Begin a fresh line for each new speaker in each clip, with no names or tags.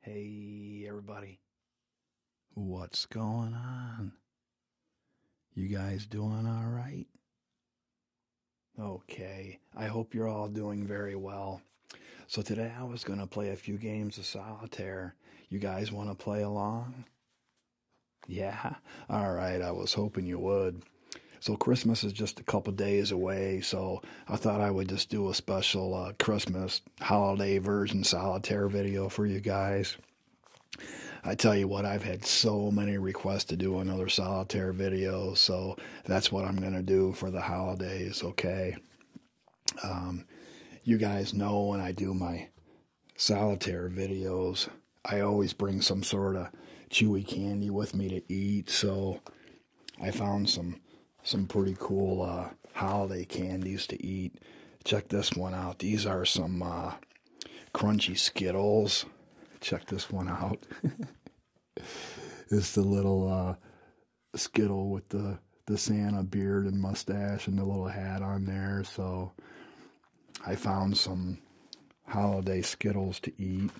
Hey, everybody. What's going on? You guys doing all right? Okay, I hope you're all doing very well. So, today I was going to play a few games of solitaire. You guys want to play along? Yeah? All right, I was hoping you would. So, Christmas is just a couple days away, so I thought I would just do a special uh, Christmas holiday version solitaire video for you guys. I tell you what, I've had so many requests to do another solitaire video, so that's what I'm going to do for the holidays, okay? Um, you guys know when I do my solitaire videos, I always bring some sort of chewy candy with me to eat, so I found some some pretty cool uh, holiday candies to eat. Check this one out. These are some uh, crunchy Skittles. Check this one out. it's the little uh, Skittle with the the Santa beard and mustache and the little hat on there. So I found some holiday Skittles to eat.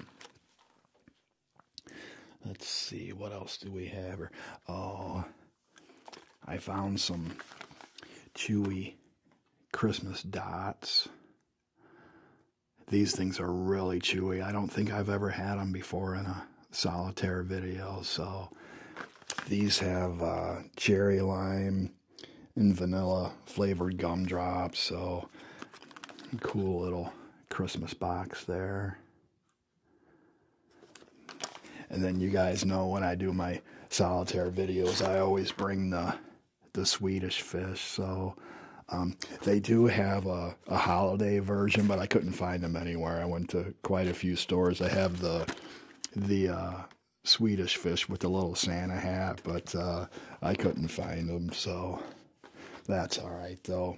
Let's see, what else do we have? oh, I found some chewy Christmas dots. These things are really chewy. I don't think I've ever had them before in a solitaire video. So these have uh, cherry lime and vanilla flavored gumdrops. So cool little Christmas box there. And then you guys know when I do my solitaire videos, I always bring the the Swedish fish. So um, they do have a, holiday version, but I couldn't find them anywhere. I went to quite a few stores. I have the the uh, Swedish fish with the little Santa hat, but uh, I couldn't find them. So that's all right though.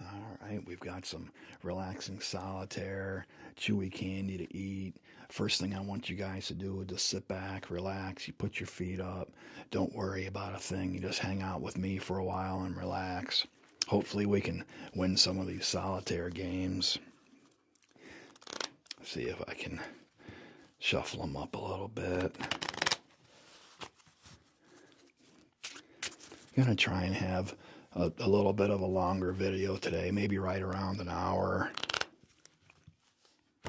All right, we've got some relaxing solitaire, chewy candy to eat. First thing I want you guys to do is just sit back, relax. You put your feet up. Don't worry about a thing. You just hang out with me for a while and relax. Hopefully, we can win some of these solitaire games. See if I can shuffle them up a little bit. I'm going to try and have a, little bit of a longer video today, maybe right around an hour.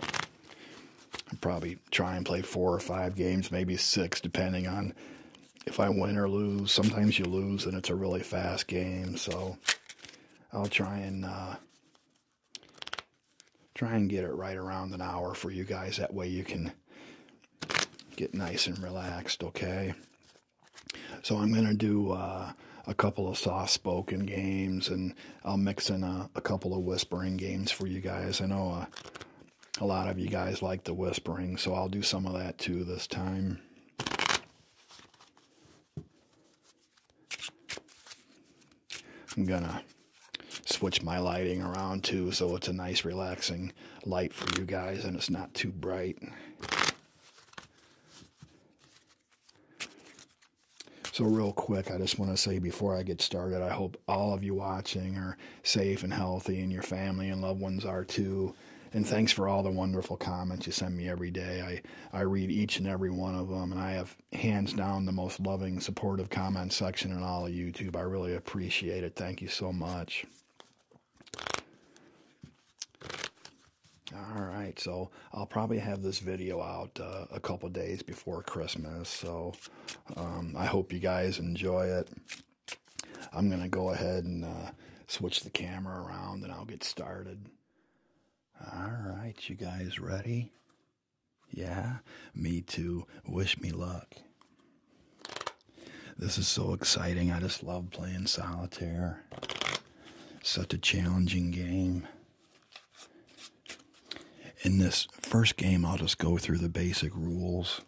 I'll probably try and play four or five games, maybe six, depending on if I win or lose. Sometimes you lose and it's a really fast game, so I'll try and uh, try and get it right around an hour for you guys. That way you can get nice and relaxed, okay? So I'm going to do uh, a couple of soft spoken games and I'll mix in a, couple of whispering games for you guys. I know uh, a lot of you guys like the whispering, so I'll do some of that too this time. I'm going to switch my lighting around too so it's a nice relaxing light for you guys and it's not too bright. So real quick, I just want to say before I get started, I hope all of you watching are safe and healthy and your family and loved ones are too. And thanks for all the wonderful comments you send me every day. I, I read each and every one of them, and I have hands down the most loving, supportive comment section in all of YouTube. I really appreciate it. Thank you so much. All right, so I'll probably have this video out uh, a couple days before Christmas. So um, I hope you guys enjoy it. I'm going to go ahead and uh, switch the camera around and I'll get started. All right, you guys ready? Yeah, me too. Wish me luck. This is so exciting. I just love playing solitaire. Such a challenging game. In this first game, I'll just go through the basic rules.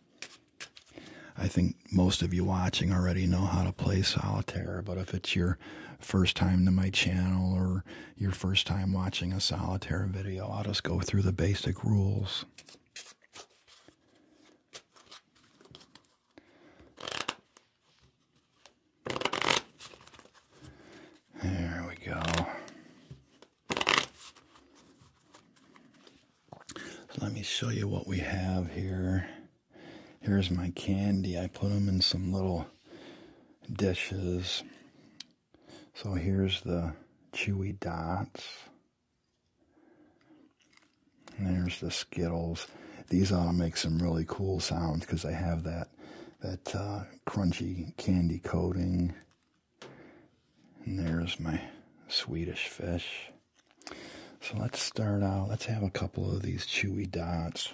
I think most of you watching already know how to play solitaire, but if it's your first time to my channel or your first time watching a solitaire video, I'll just go through the basic rules. There we go. let me show you what we have here. Here's my candy. I put them in some little dishes. So here's the chewy dots. There's the Skittles. These ought to make some really cool sounds because they have that that uh, crunchy candy coating. And there's my Swedish fish. So let's start out. Let's have a couple of these chewy dots.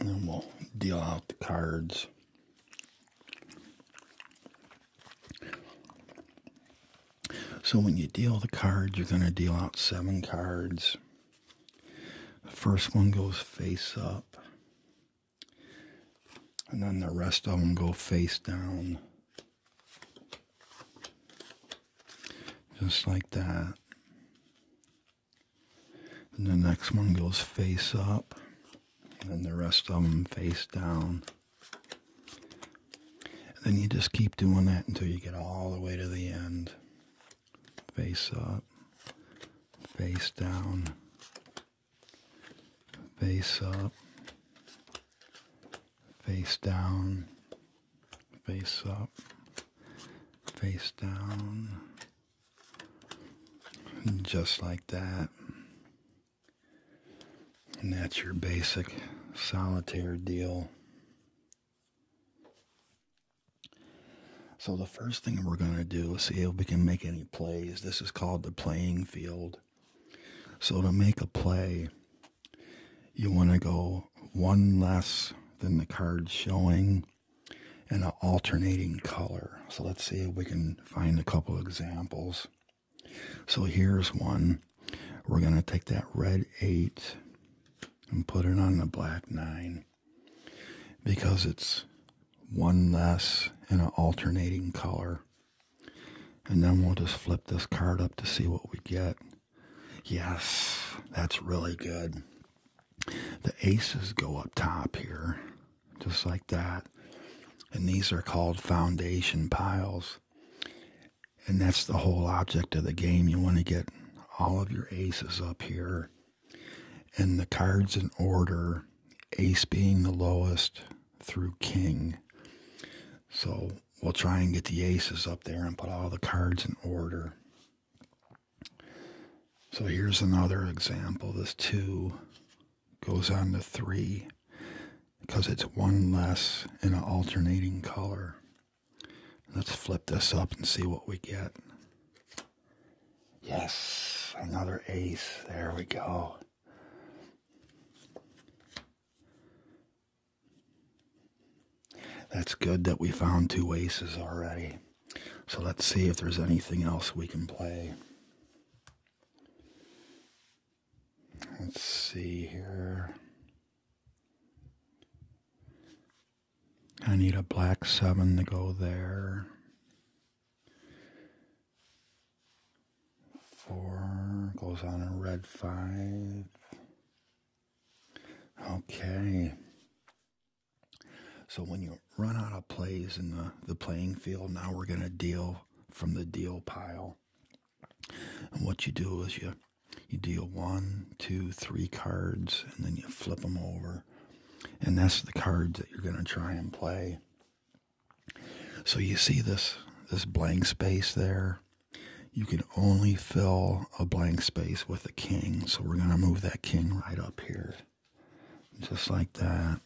And then we'll deal out the cards. So when you deal the cards, you're going to deal out seven cards. The first one goes face up. And then the rest of them go face down. Just like that. And the next one goes face up and the rest of them face down. And then you just keep doing that until you get all the way to the end. Face up, face down, face up, face down, face up, face down, just like that. And that's your basic solitaire deal. So the first thing we're going to do is see if we can make any plays. This is called the playing field. So to make a play, you want to go one less than the card showing and an alternating color. So let's see if we can find a couple examples. So here's one. We're going to take that red 8 and put it on the black 9 because it's one less in an alternating color. And then we'll just flip this card up to see what we get. Yes, that's really good. The aces go up top here just like that. And these are called foundation piles. And that's the whole object of the game. You want to get all of your aces up here. And the cards in order, ace being the lowest through king. So we'll try and get the aces up there and put all the cards in order. So here's another example, this two goes on to three because it's one less in an alternating color. Let's flip this up and see what we get. Yes, another ace. There we go. That's good that we found two aces already. So let's see if there's anything else we can play. Let's see here. I need a black seven to go there. Four goes on a red five. Okay. So when you run out of plays in the, the playing field, now we're going to deal from the deal pile. And what you do is you you deal one, two, three cards, and then you flip them over, and that's the cards that you're going to try and play. So you see this this blank space there. You can only fill a blank space with a king, so we're going to move that king right up here, just like that.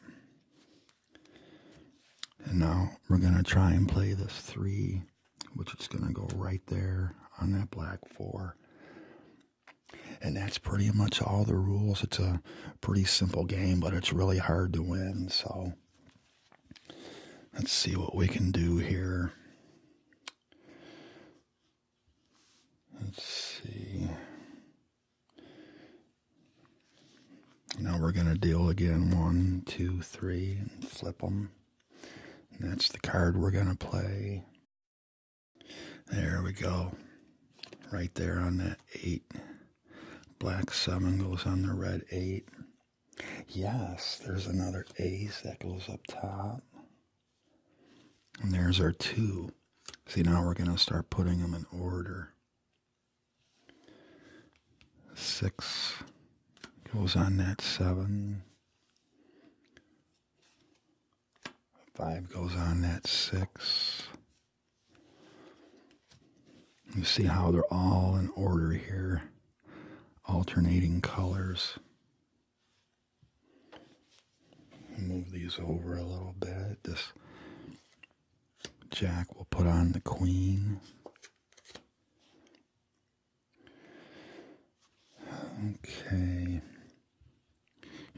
And now we're going to try and play this 3, which is going to go right there on that black 4. And that's pretty much all the rules. It's a pretty simple game, but it's really hard to win. So let's see what we can do here. Let's see. Now we're going to deal again one, two, three, and flip them. And that's the card we're going to play. There we go. Right there on that eight. Black seven goes on the red eight. Yes, there's another ace that goes up top. And there's our two. See, now we're going to start putting them in order. Six goes on that seven. Five goes on that six. You see how they're all in order here, alternating colors. Move these over a little bit. Jack will put on the queen. Okay.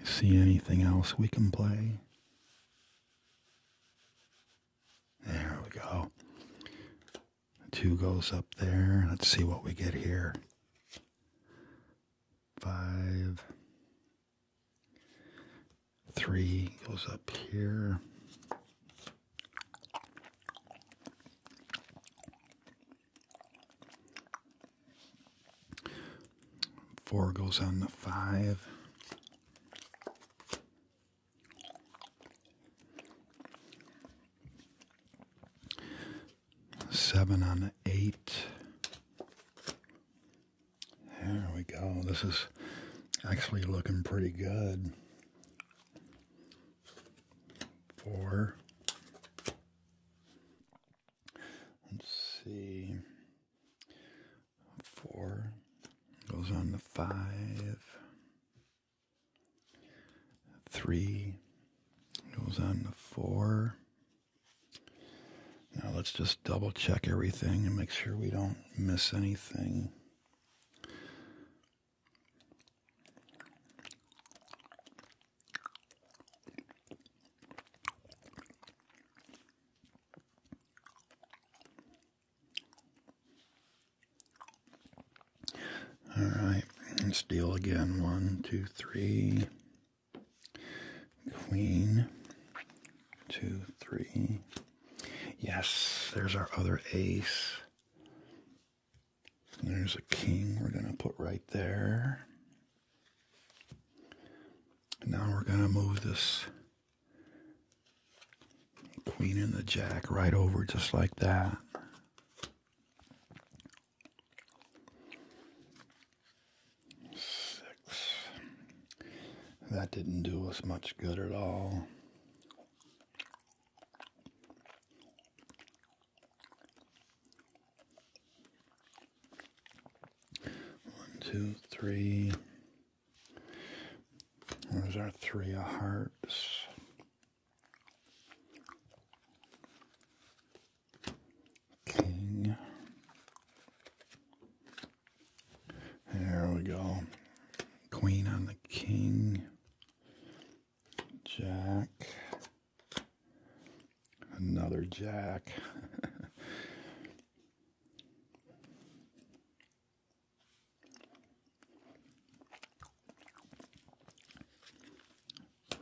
see anything else we can play? There we go. Two goes up there. Let's see what we get here. Five, Three goes up here. Four goes on the five. Seven on the eight. There we go. This is actually looking pretty good. Four. Let's see. Four goes on the five. Three goes on the four. Now let's just double check everything and make sure we don't miss anything. All right, let's deal again. One, two, three. Queen, two, three. Yes, there's our other ace. There's a king we're going to put right there. Now we're going to move this queen and the jack right over just like that that didn't do us much good at all. One, two, three. There's our three of hearts. King. There we go. Queen on the king. Jack. Another jack.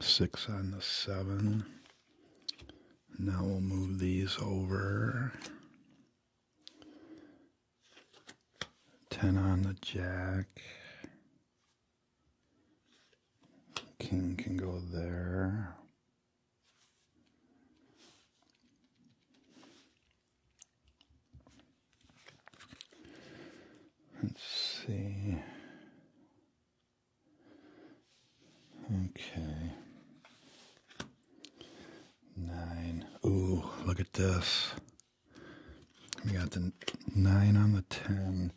Six on the seven. Now we'll move these over. Ten on the jack. King can go there. Let's see. Okay. Nine. Ooh, look at this. We got the nine on the ten.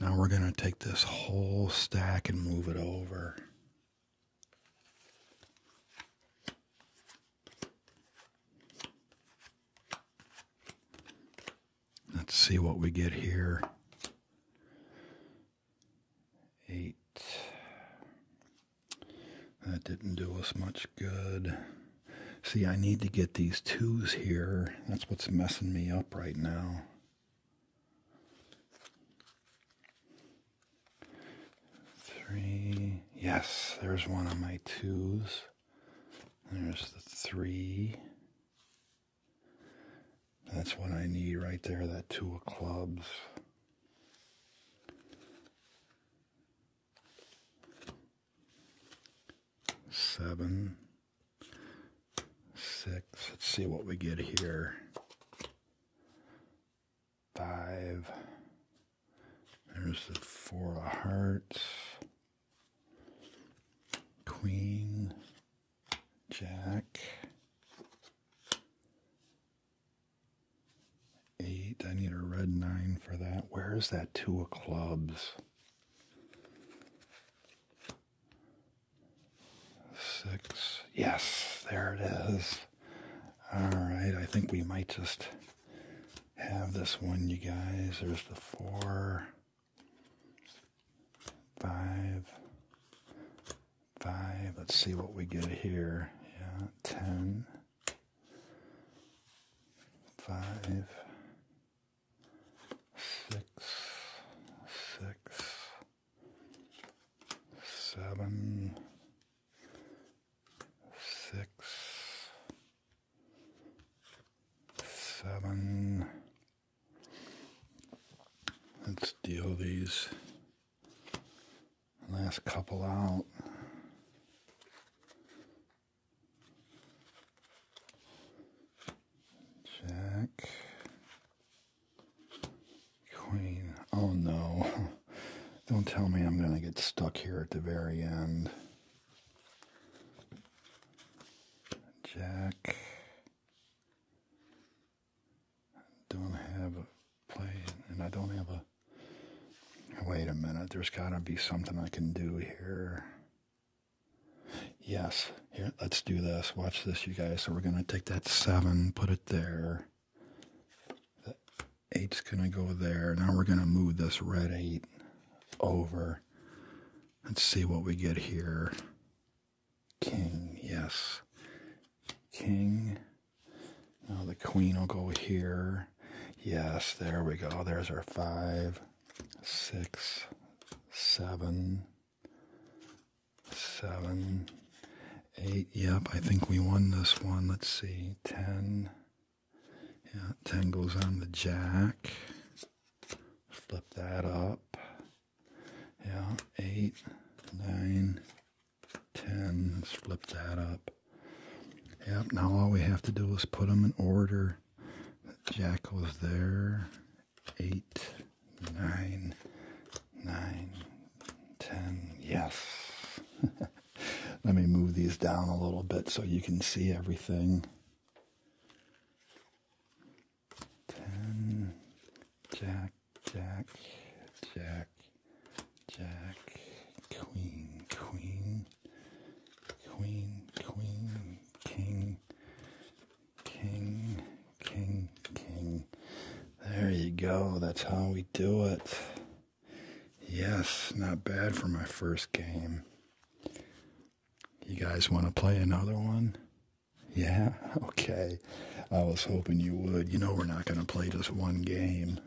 Now we're going to take this whole stack and move it over. Let's see what we get here. Eight. That didn't do us much good. See, I need to get these twos here. That's what's messing me up right now. Three. Yes, there's one on my twos. There's the three. That's what I need right there, that two of clubs seven, six. Let's see what we get here. Five. There's the four of hearts. Queen. Jack. Eight. I need a red nine for that. Where is that two of clubs? Six. Yes, there it is. All right, I think we might just have this one, you guys. There's the four, five, five. Let's see what we get here. Yeah, ten five, six, six, seven, six, seven. Let's deal these Last couple out. Jack. Queen. Oh no. Don't tell me I'm going to get stuck here at the very end. Jack. Don't have play, and I don't have a. Wait a minute, there's got to be something I can do here. Yes, here, let's do this. Watch this, you guys. So we're going to take that 7, put it there. The 8's going to go there. Now we're going to move this red 8 over. Let's see what we get here. King, yes. King. Now oh, the queen will go here. Yes, there we go. There's our five, six, seven, seven, eight. Yep, I think we won this one. Let's see, ten. Yeah, ten goes on the jack. Flip that up. Yeah, eight, nine, 10. Let's flip that up. Yep, now all we have to do is put them in order. The jack was there. 8, 9, 9, 10. Yes. Let me move these down a little bit so you can see everything. 10, jack, jack, jack, Jack, Queen, Queen, Queen, Queen, King, King, King, King. There you go. That's how we do it. Yes, not bad for my first game. You guys want to play another one? Yeah? Okay. I was hoping you would. You know we're not going to play just one game.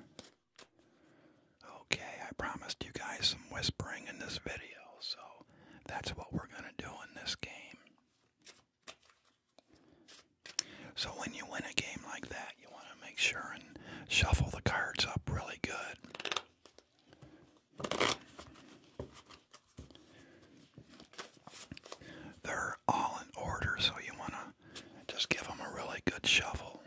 Okay, I promised you guys some whispering in this video, so that's what we're going to do in this game. So when you win a game like that, you want to make sure and shuffle the cards up really good. They're all in order, so you want to just give them a really good shuffle.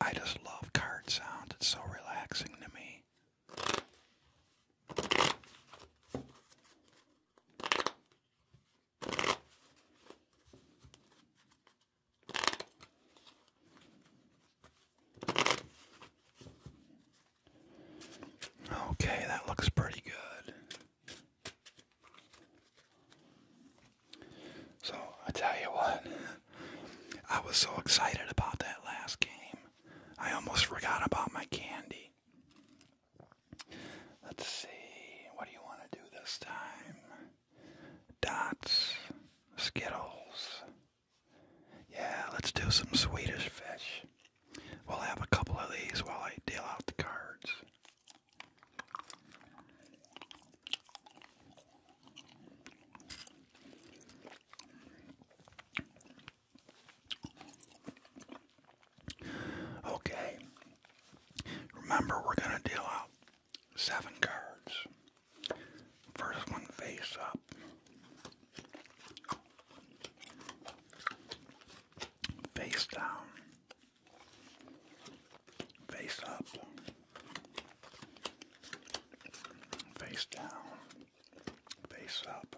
I just love card sounds. It's so relaxing to me. Okay, that looks pretty good. So, I tell you what, I was so excited about that last game. I almost forgot about my candy. Let's see, what do you want to do this time? Dots, Skittles. Yeah, let's do some Swedish fish. We'll have a couple of these while I deal out the cards. Okay. Remember, we're going to deal out seven cards. First one face up. Face down, face up, face down, face up,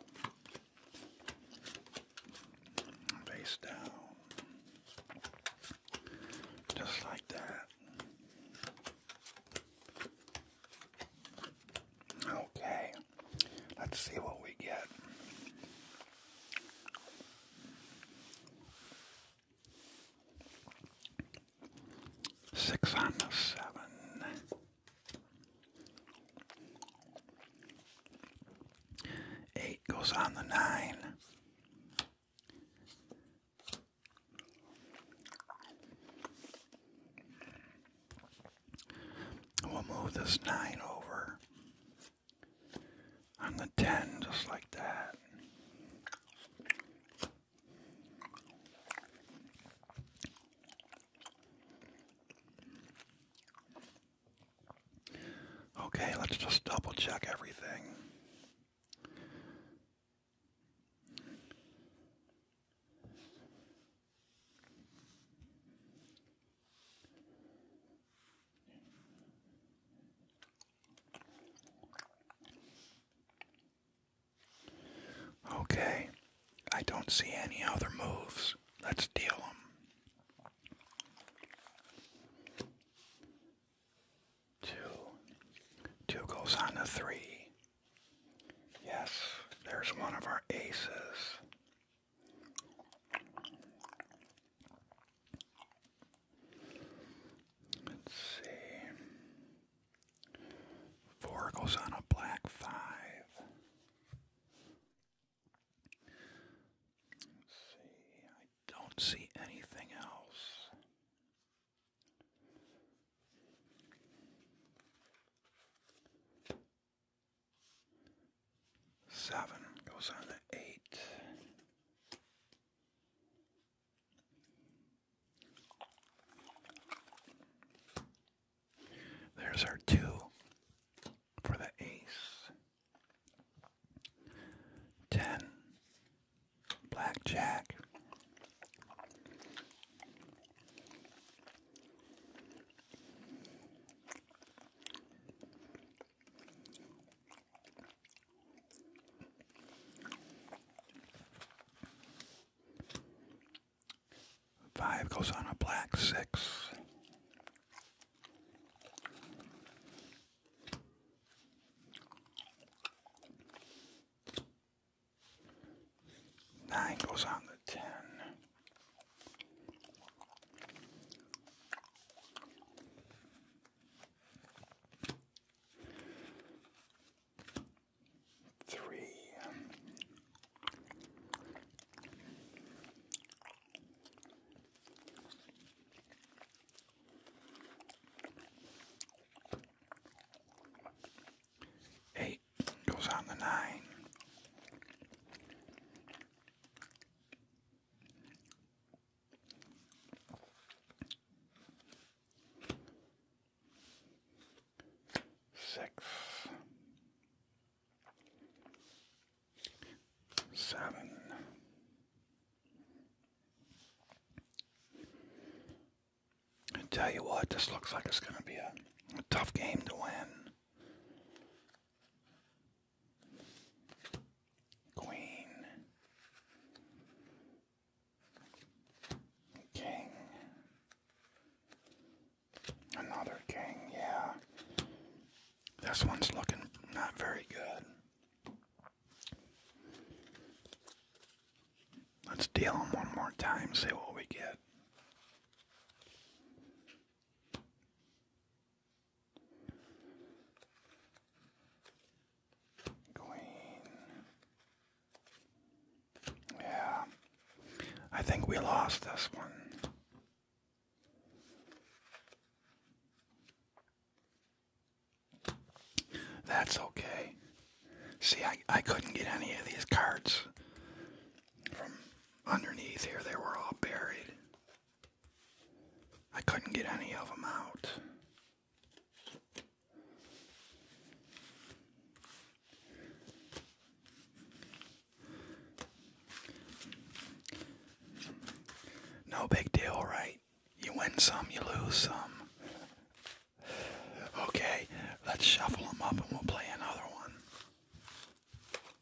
face down, just like that. Okay, let's see what we get. Six on the seven. Eight goes on the nine. We'll move this 9 over on the 10 just like that. Okay, let's just double check everything. Okay, I don't see any other moves. Let's deal them. Two. Two goes on to three. Yes, there's one of our aces. Let's see. Four goes on a black 5 see. I don't see anything else. Seven goes on the eight. There's our two for the ace. Ten. Blackjack. Five goes on a black six. Nine goes on the ten. Three. Eight. Goes on the nine. tell you what, this looks like it's going to be a tough game to win. Queen, King, another King, yeah. This one's looking not very good. Let's deal them one more time, see what we get. Queen. Yeah. I think we lost this one. That's okay. See, I, I couldn't get any of these cards from underneath here, they were all buried. I couldn't get any of them out. No big deal, right? You win some, you lose some. Okay, let's shuffle them up and we'll play another one.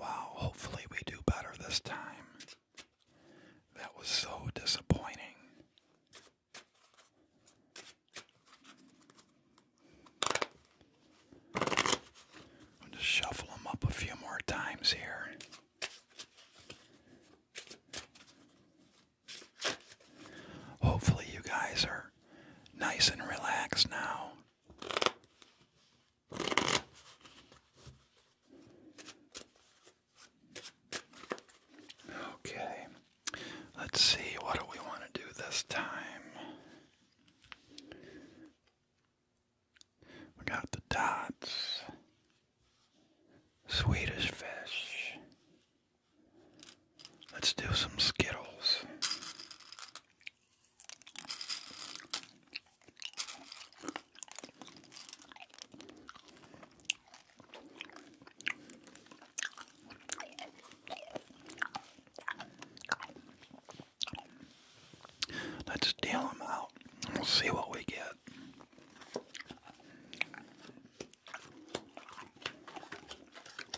Wow, hopefully we do better this time. That was so disappointing. I'll just shuffle them up a few more times here. Hopefully, you guys are nice and relaxed now. Okay, let's see, what do we want to do this time? We got the dots, Swedish fish, Let's do some Skittles. Let's deal them out we'll see what we get.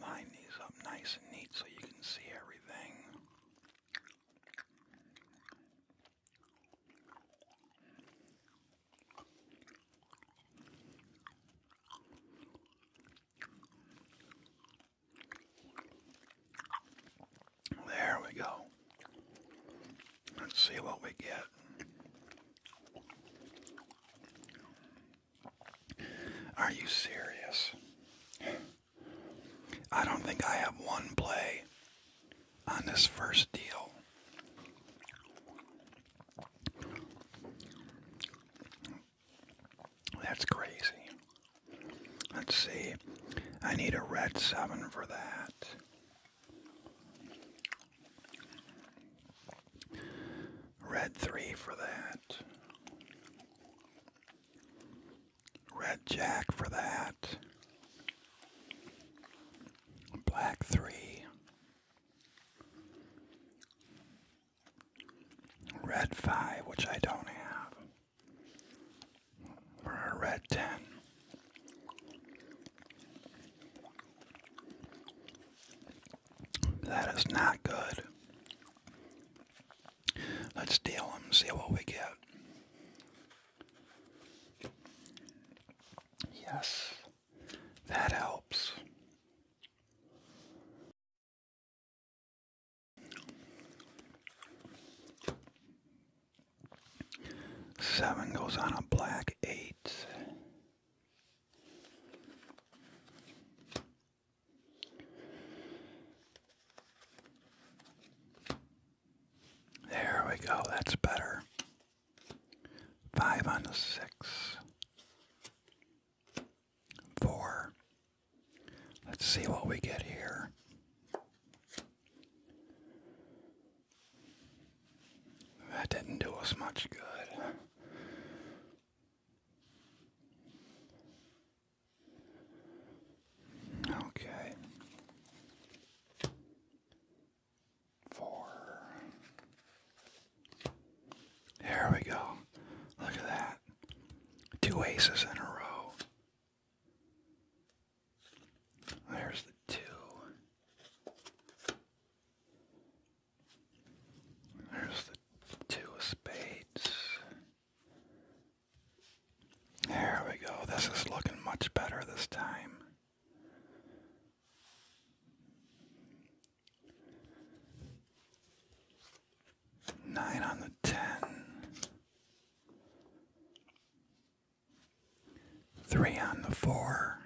Line these up nice and neat so you can see everything. There we go. Let's see what we get. Are you serious? I don't think I have one play on this first deal. That's crazy. Let's see. I need a red 7 for that. Red 3 for that. Red Jack for that. Black 3. Red 5, which I don't have. Or a red 10. That is not good. Let's deal them, see what we get. Yes, that helps. Seven goes on a black eight. There we go, that's better. Five on the six. Four. Let's see what we get here. That didn't do us much good. Okay. Four. There we go. Look at that. Two aces in a row. There's the two. There's the two of spades. There we go. This is looking much better this time. Nine on the ten. Three on the four.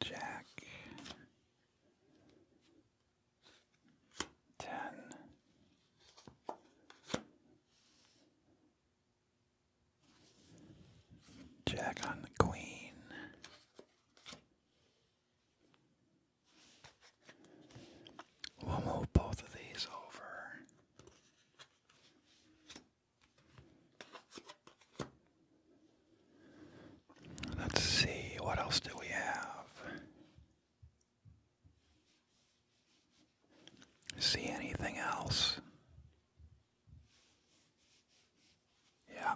Jack ten. Jack on the Queen. We'll move both of these over. Let's see, what else do we have? See anything else? Yeah,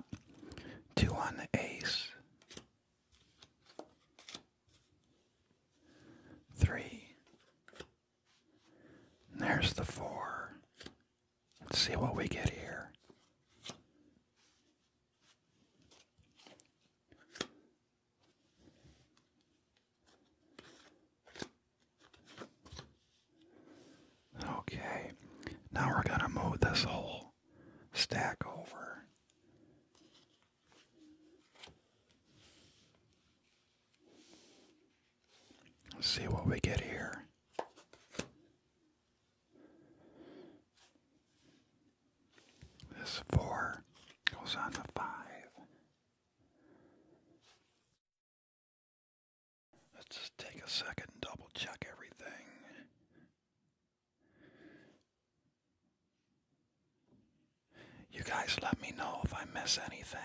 two on the ace, three. There's the four. Let's see what we get here. Okay, now we're going to move this whole stack over. Let's see what we get here. This four goes on to five. Let's take a second and double check everything. You guys let me know if I miss anything.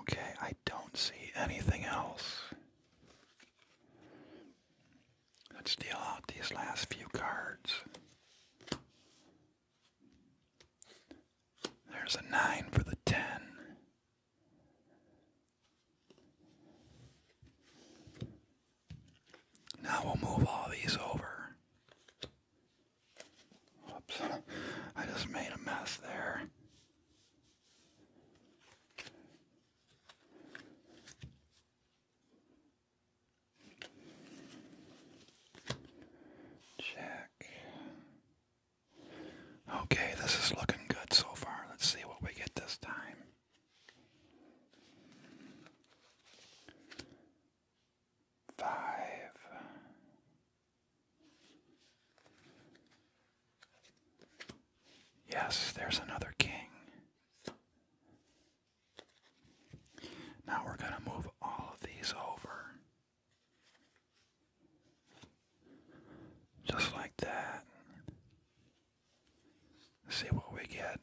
Okay, I don't see anything else. Let's deal out these last few cards. There's a 9 for the 10. Now we'll move all these over. Oops, I just made a mess there. Check. Okay, this is looking good so far. Let's see what we get this time. Five. Yes, there's another king. Now we're going to move all of these over. Just like that see what we get.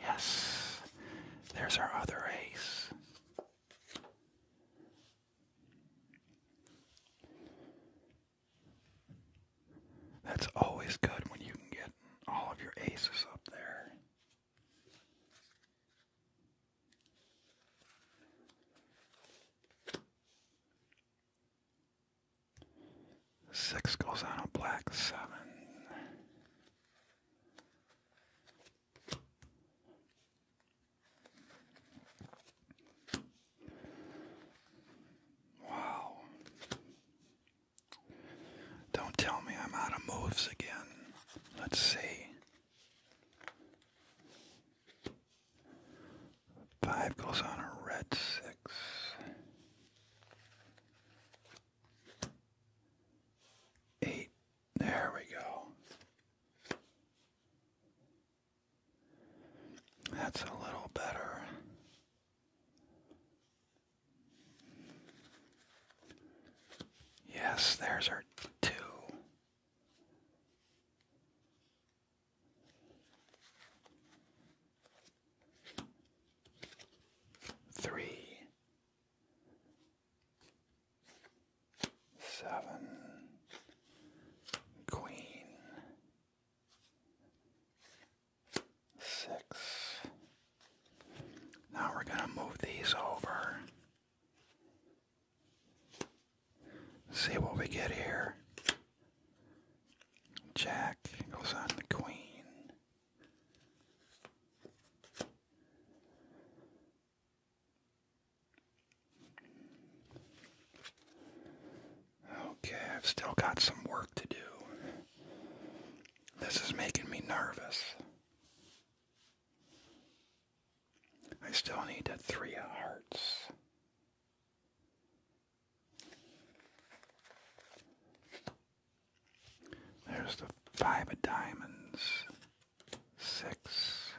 Yes, there's our other ace. That's always good when you can get all of your aces up there. Six goes on a black seven. Wow. Don't tell me I'm out of moves again. Let's see. Five goes on a red six. Eight. There we go. That's a little better. Yes, there's our two. Three, seven, queen, six. Now we're going to move these over. See what we get here. Jack goes on the queen. Okay, I've still got some work to do. This is making me nervous. I still need a three hearts. There's the five of diamonds. Six.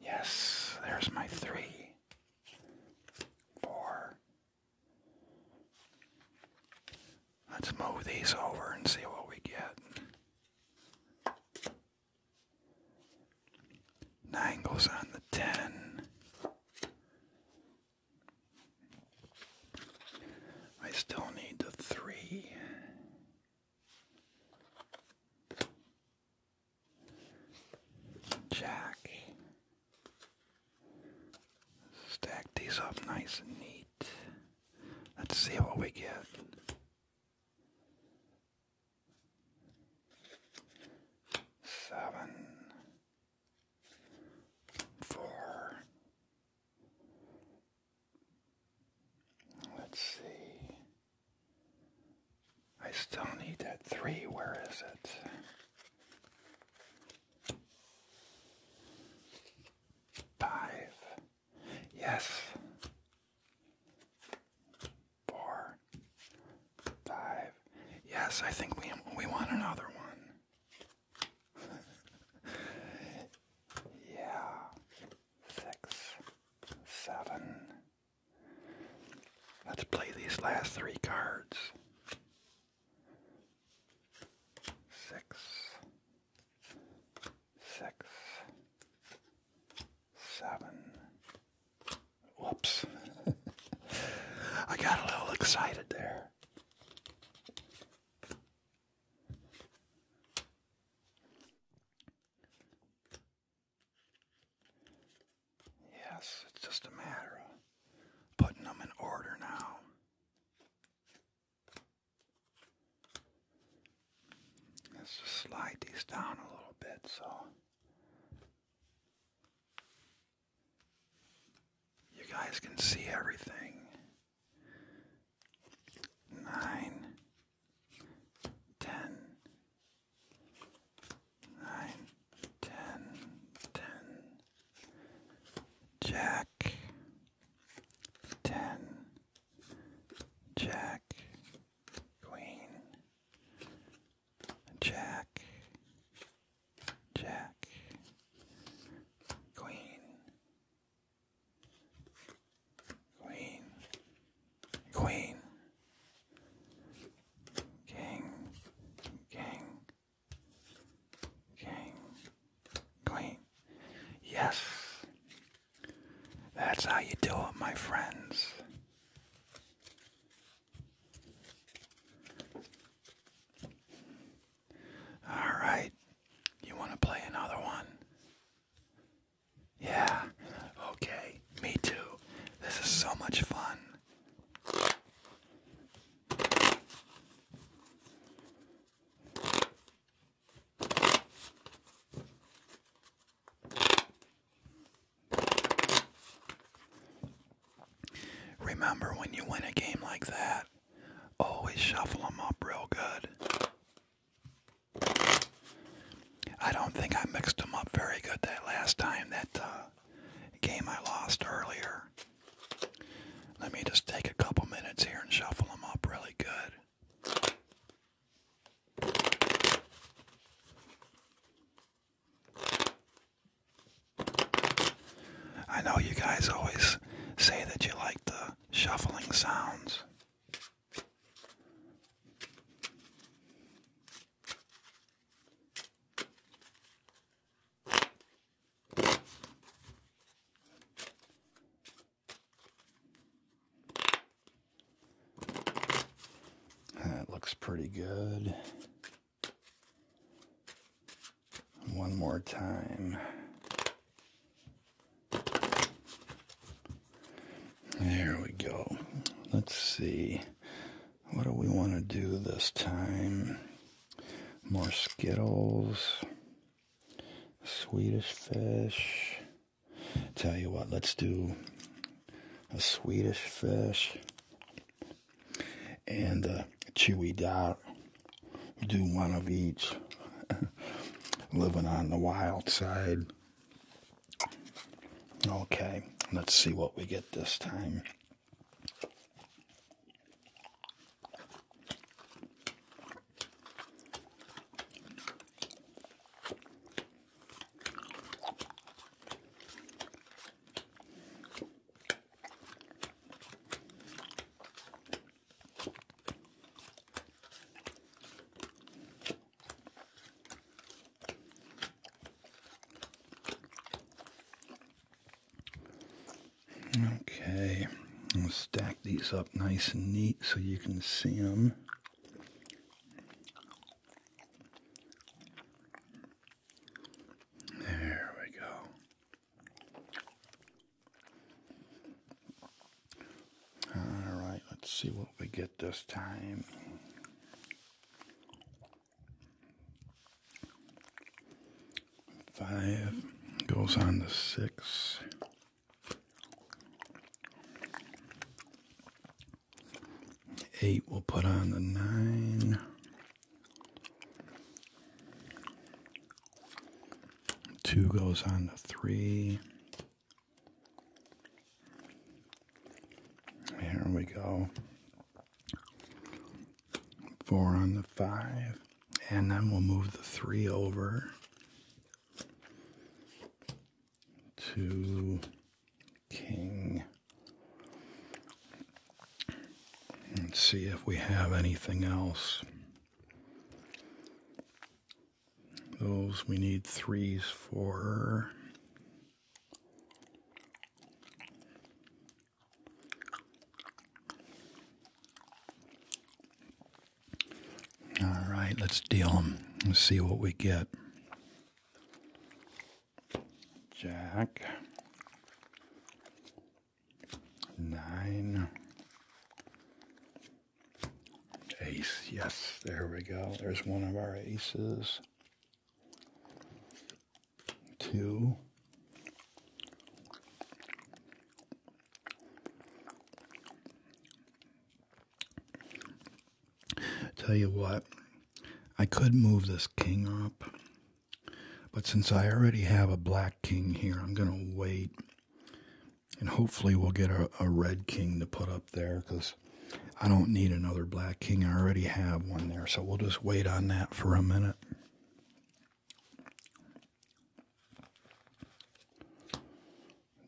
Yes, there's my three. Four. Let's move these over and see what we get. Nine goes on the ten. I still need the three. Jack. Stack these up nice and neat. Let's see what we get seven, four. Let's see. I still need that three. Where is it? Five. Yes four, five. Yes, I think we we want another one. yeah, six, seven. Let's play these last three cards. Six, six, seven, Whoops. I got a little excited there. Yes, it's just a matter of putting them in order now. Let's just slide these down a little bit so you guys can see everything. Nine, ten, nine, ten, ten. Jack, ten, Jack, Queen, Jack, Jack, Queen, Queen, Queen, King, King, King, Queen. Yes, that's how you do it, my friends. All right. You want to play another one? Yeah. Okay. Me too. This is so much fun. Remember when you win a game like that, always shuffle up real good. I don't think I mixed up very good that last time, that uh, game I lost earlier. Let me just take a couple minutes here and shuffle them up really good. I know you guys always say that you like the shuffling sounds. That looks pretty good. One more time. There we go. Let's see. What do we want to do this time? More Skittles. Swedish fish. Tell you what, let's do a Swedish fish and uh, Chewy Dot do one of each. Living on the wild side. Okay, let's see what we get this time. Okay, stack these up nice and neat so you can see them. There we go. All right, let's see what we get this time. Five goes on the six. Eight we will put on the nine. Two goes on the three. Here we go. Four on the five. And then we'll move the three over to king. Let's see if we have anything else. Those we need threes for. All right, let's deal them and see what we get. Jack nine ace. Yes, there we go. There's one of our aces. Two. Tell you what, I could move this king up but since I already have a black king here, I'm going to wait. And hopefully we'll get a, red king to put up there because I don't need another black king. I already have one there. So we'll just wait on that for a minute.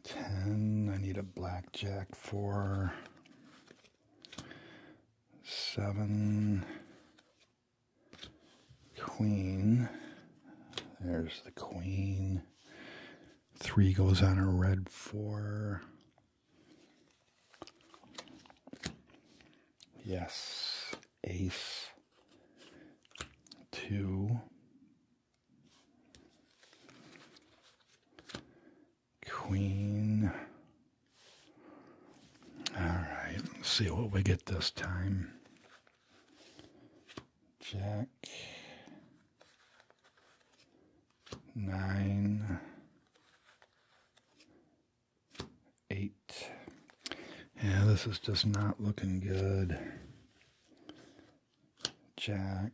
Ten. I need a blackjack for seven, queen. There's the queen. Three goes on a red four. Yes, ace. Two. Queen. All right, let's see what we get this time. Jack. Nine. Eight. Yeah, this is just not looking good. Jack.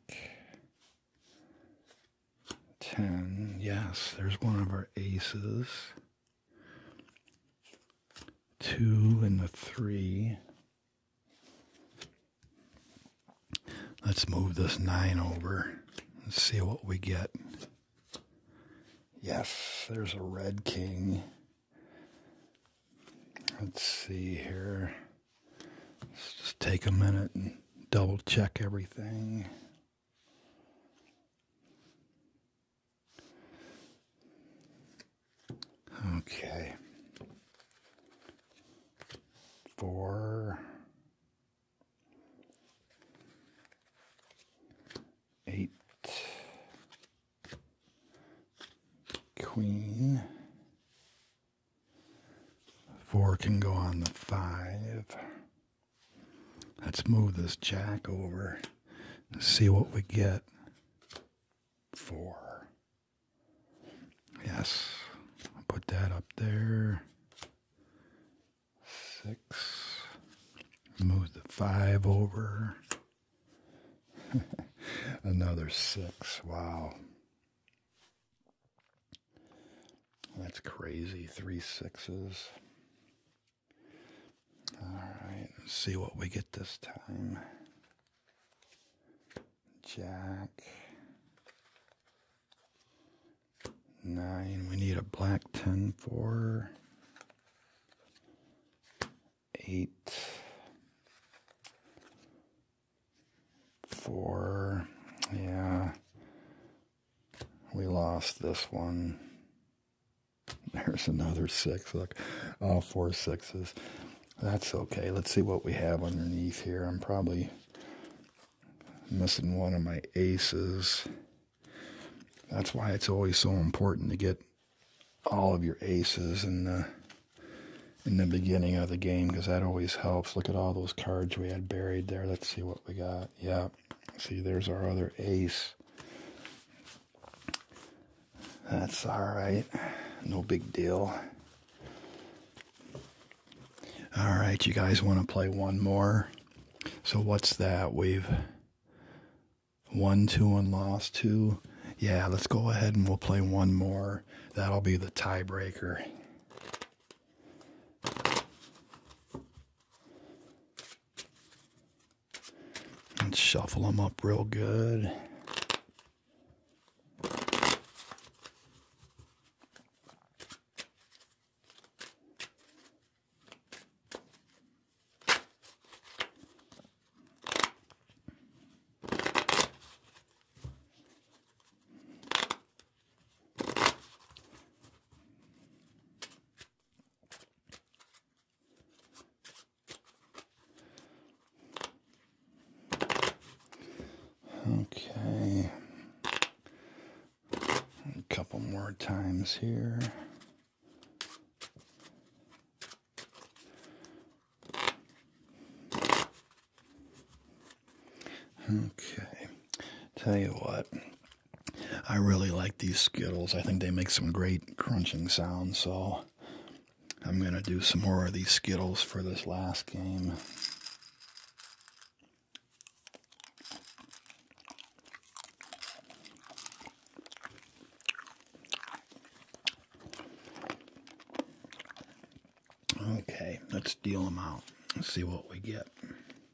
10. Yes, there's one of our aces. Two and the three. Let's move this nine over and see what we get. Yes, there's a red king. Let's see here. Let's just take a minute and double check everything. Okay. Four. Eight. Queen. Four can go on the five. Let's move this jack over and see what we get. Four. Yes. put that up there. Six. Move the five over. Another six. Wow. That's crazy. Three sixes. Alright, let's see what we get this time. Jack. Nine. We need a black ten four. Eight. Four. Yeah we lost this one. There's another six. Look, all four sixes. That's okay. Let's see what we have underneath here. I'm probably missing one of my aces. That's why it's always so important to get all of your aces and in the beginning of the game because that always helps. Look at all those cards we had buried there. Let's see what we got. Yeah, See, there's our other ace. That's all right. No big deal. All right, you guys want to play one more? So what's that? We've won two and lost two. Yeah, let's go ahead and we'll play one more. That'll be the tiebreaker and shuffle them up real good. Okay. A couple more times here. Okay. Tell you what. I really like these Skittles. I think they make some great crunching sounds, so I'm going to do some more of these Skittles for this last game. Okay, let's deal them out and see what we get.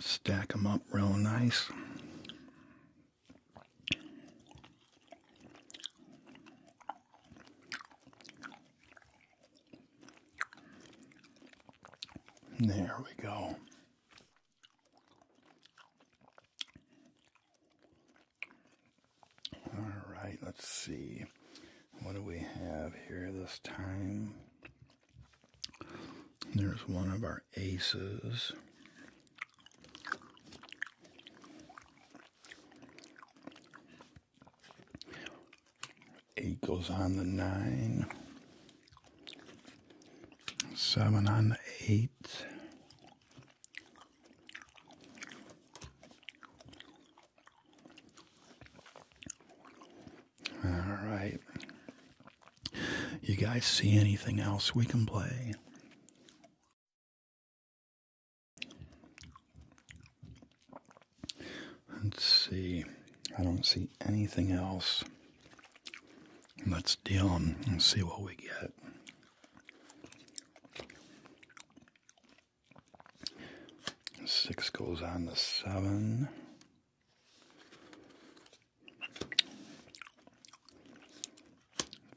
Stack them up real nice. There we go. All right, let's see. What do we have here this time? There's one of our aces. Eight goes on the nine. Seven on the eight. All right. You guys see anything else we can play? Let's see. I don't see anything else. Let's deal and see what we get. Six goes on the seven.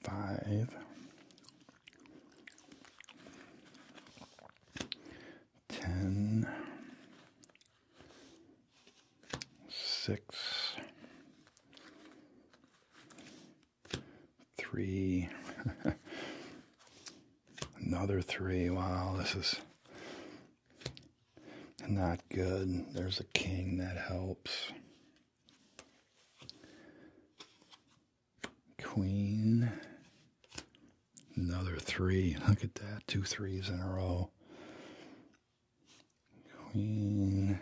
Five, ten, six, three, another three. Wow, this is not good. There's a king that helps. Queen. Another three. Look at that. Two threes in a row. Queen.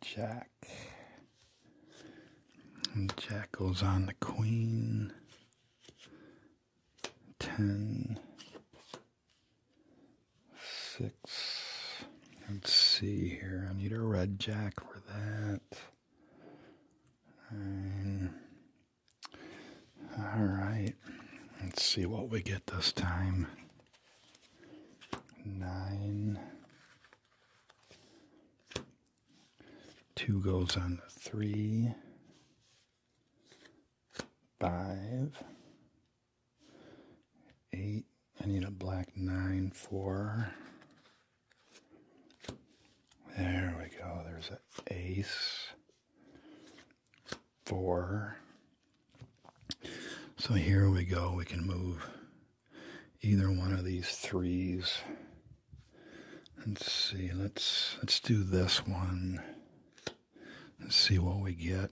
Jack. Jack goes on the queen. 10, Let's see here. I need a red jack for that. Nine. All right. Let's see what we get this time. Nine. Two goes on the three, five, eight. I need a black nine, four. There we go. There's an ace, four. So here we go. We can move either one of these threes Let's see. Let's let's do this one. Let's see what we get.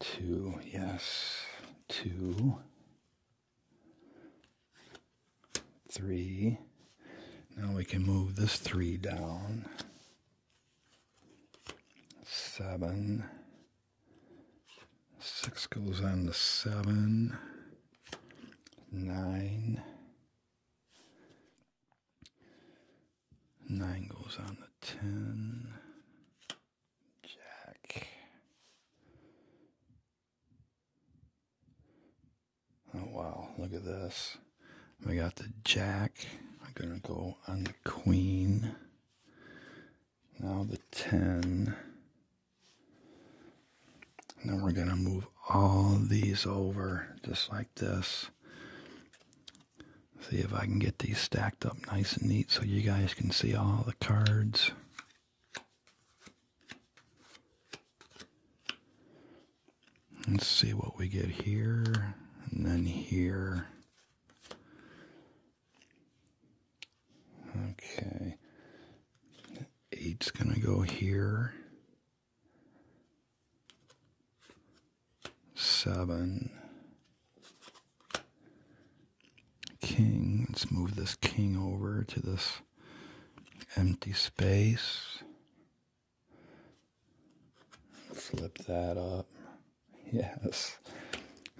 Two. Yes. Two. Three. Now we can move this three down. Seven. Six goes on the seven. Nine. Nine goes on the ten. Jack. Oh wow, look at this. We got the jack. I'm gonna go on the queen. Now the ten then we're going to move all these over just like this. See if I can get these stacked up nice and neat so you guys can see all the cards. Let's see what we get here and then here. Okay. Eight's going to go here seven. King. Let's move this king over to this empty space. Flip that up. Yes.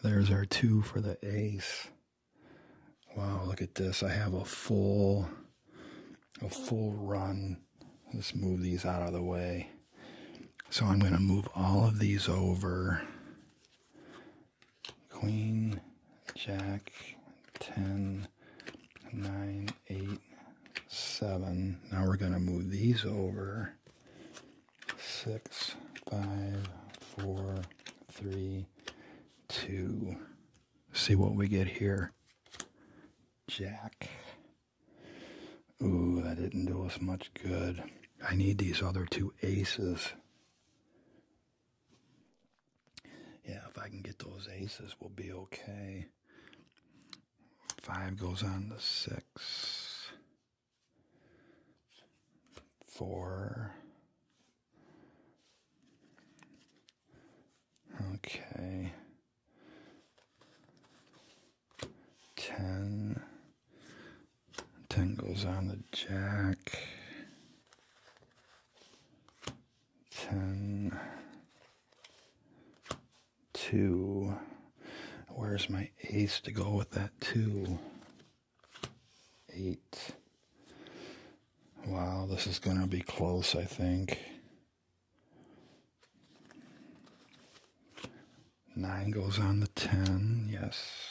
There's our two for the ace. Wow, look at this. I have a full a full run. Let's move these out of the way. So I'm going to move all of these over. Queen, Jack, ten, nine, eight, seven. Now we're going to move these over. Six, five, four, three, two see what we get here. Jack. Ooh, that didn't do us much good. I need these other two aces. Yeah, if I can get those aces, we'll be okay. Five goes on to six. Four. Okay. Ten. Ten goes on the jack. Ten. Two. Where's my ace to go with that two? Eight. Wow, this is going to be close, I think. Nine goes on the ten, yes.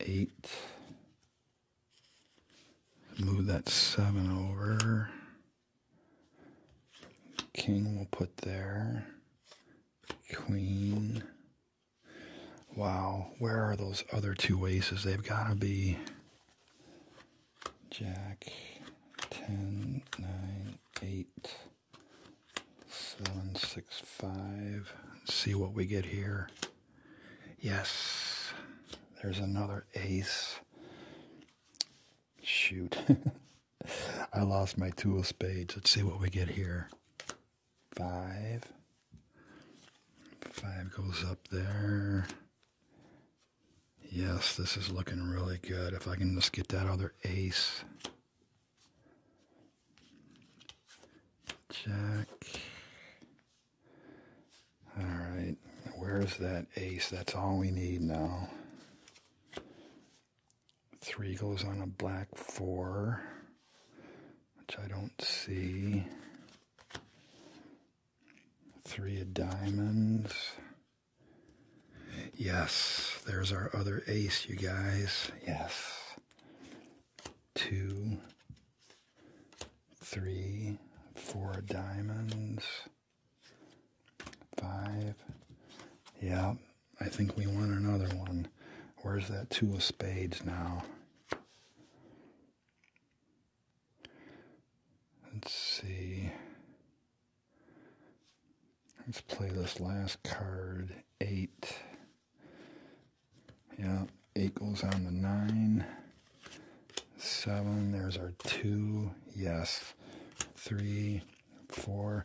Eight. Move that seven over. King we'll put there. Queen. Wow, where are those other two aces? They've got to be Jack, 10, 9, 8, 7, 6, 5. see what we get here. Yes, there's another ace. Shoot. I lost my two of spades. Let's see what we get here. Five, Five goes up there. Yes, this is looking really good. If I can just get that other ace. Jack. All right, where's that ace? That's all we need now. Three goes on a black four, which I don't see. Three of diamonds. Yes, there's our other ace, you guys. Yes. Two, three, four diamonds, five. Yeah, I think we want another one. Where's that two of spades now? Let's see. Let's play this last card, eight. Yeah, eight goes on the nine. Seven, there's our two. Yes. Three, four.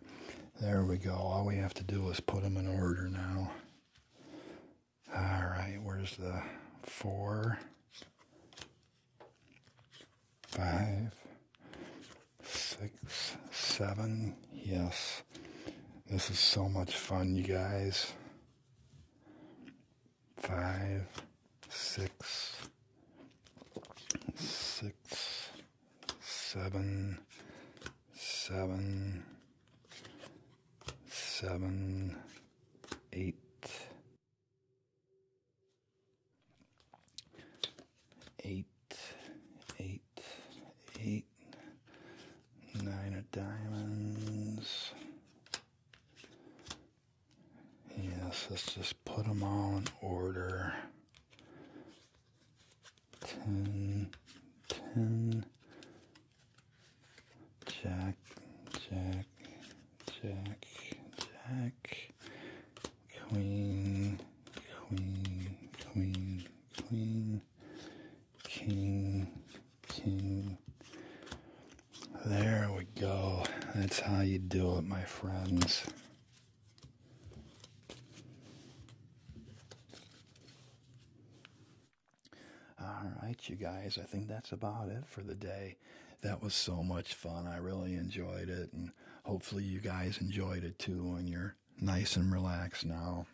There we go. All we have to do is put them in order now. All right, where's the four, five, six, seven? Yes. This is so much fun, you guys. Five, six, six, seven, seven, seven, eight. Eight, eight, eight, nine of diamonds. Yes, let's just put them all in order. Ten, ten, Jack, Jack, Jack, Jack, Queen, Queen, Queen, Queen, King, King. There we go. That's how you do it, my friends. All right, you guys, I think that's about it for the day. That was so much fun. I really enjoyed it, and hopefully, you guys enjoyed it too. And you're nice and relaxed now.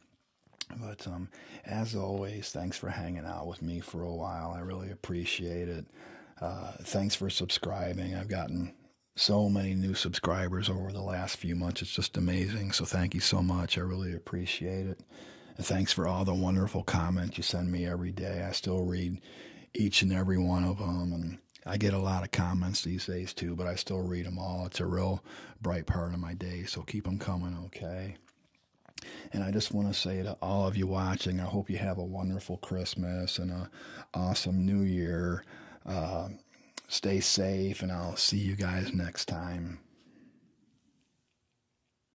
But um, as always, thanks for hanging out with me for a while. I really appreciate it. Uh, thanks for subscribing. I've gotten so many new subscribers over the last few months. It's just amazing. So thank you so much. I really appreciate it thanks for all the wonderful comments you send me every day. I still read each and every one of them. And I get a lot of comments these days too, but I still read them all. It's a real bright part of my day. So keep them coming, okay? And I just want to say to all of you watching, I hope you have a wonderful Christmas and a awesome New Year. Uh, stay safe, and I'll see you guys next time.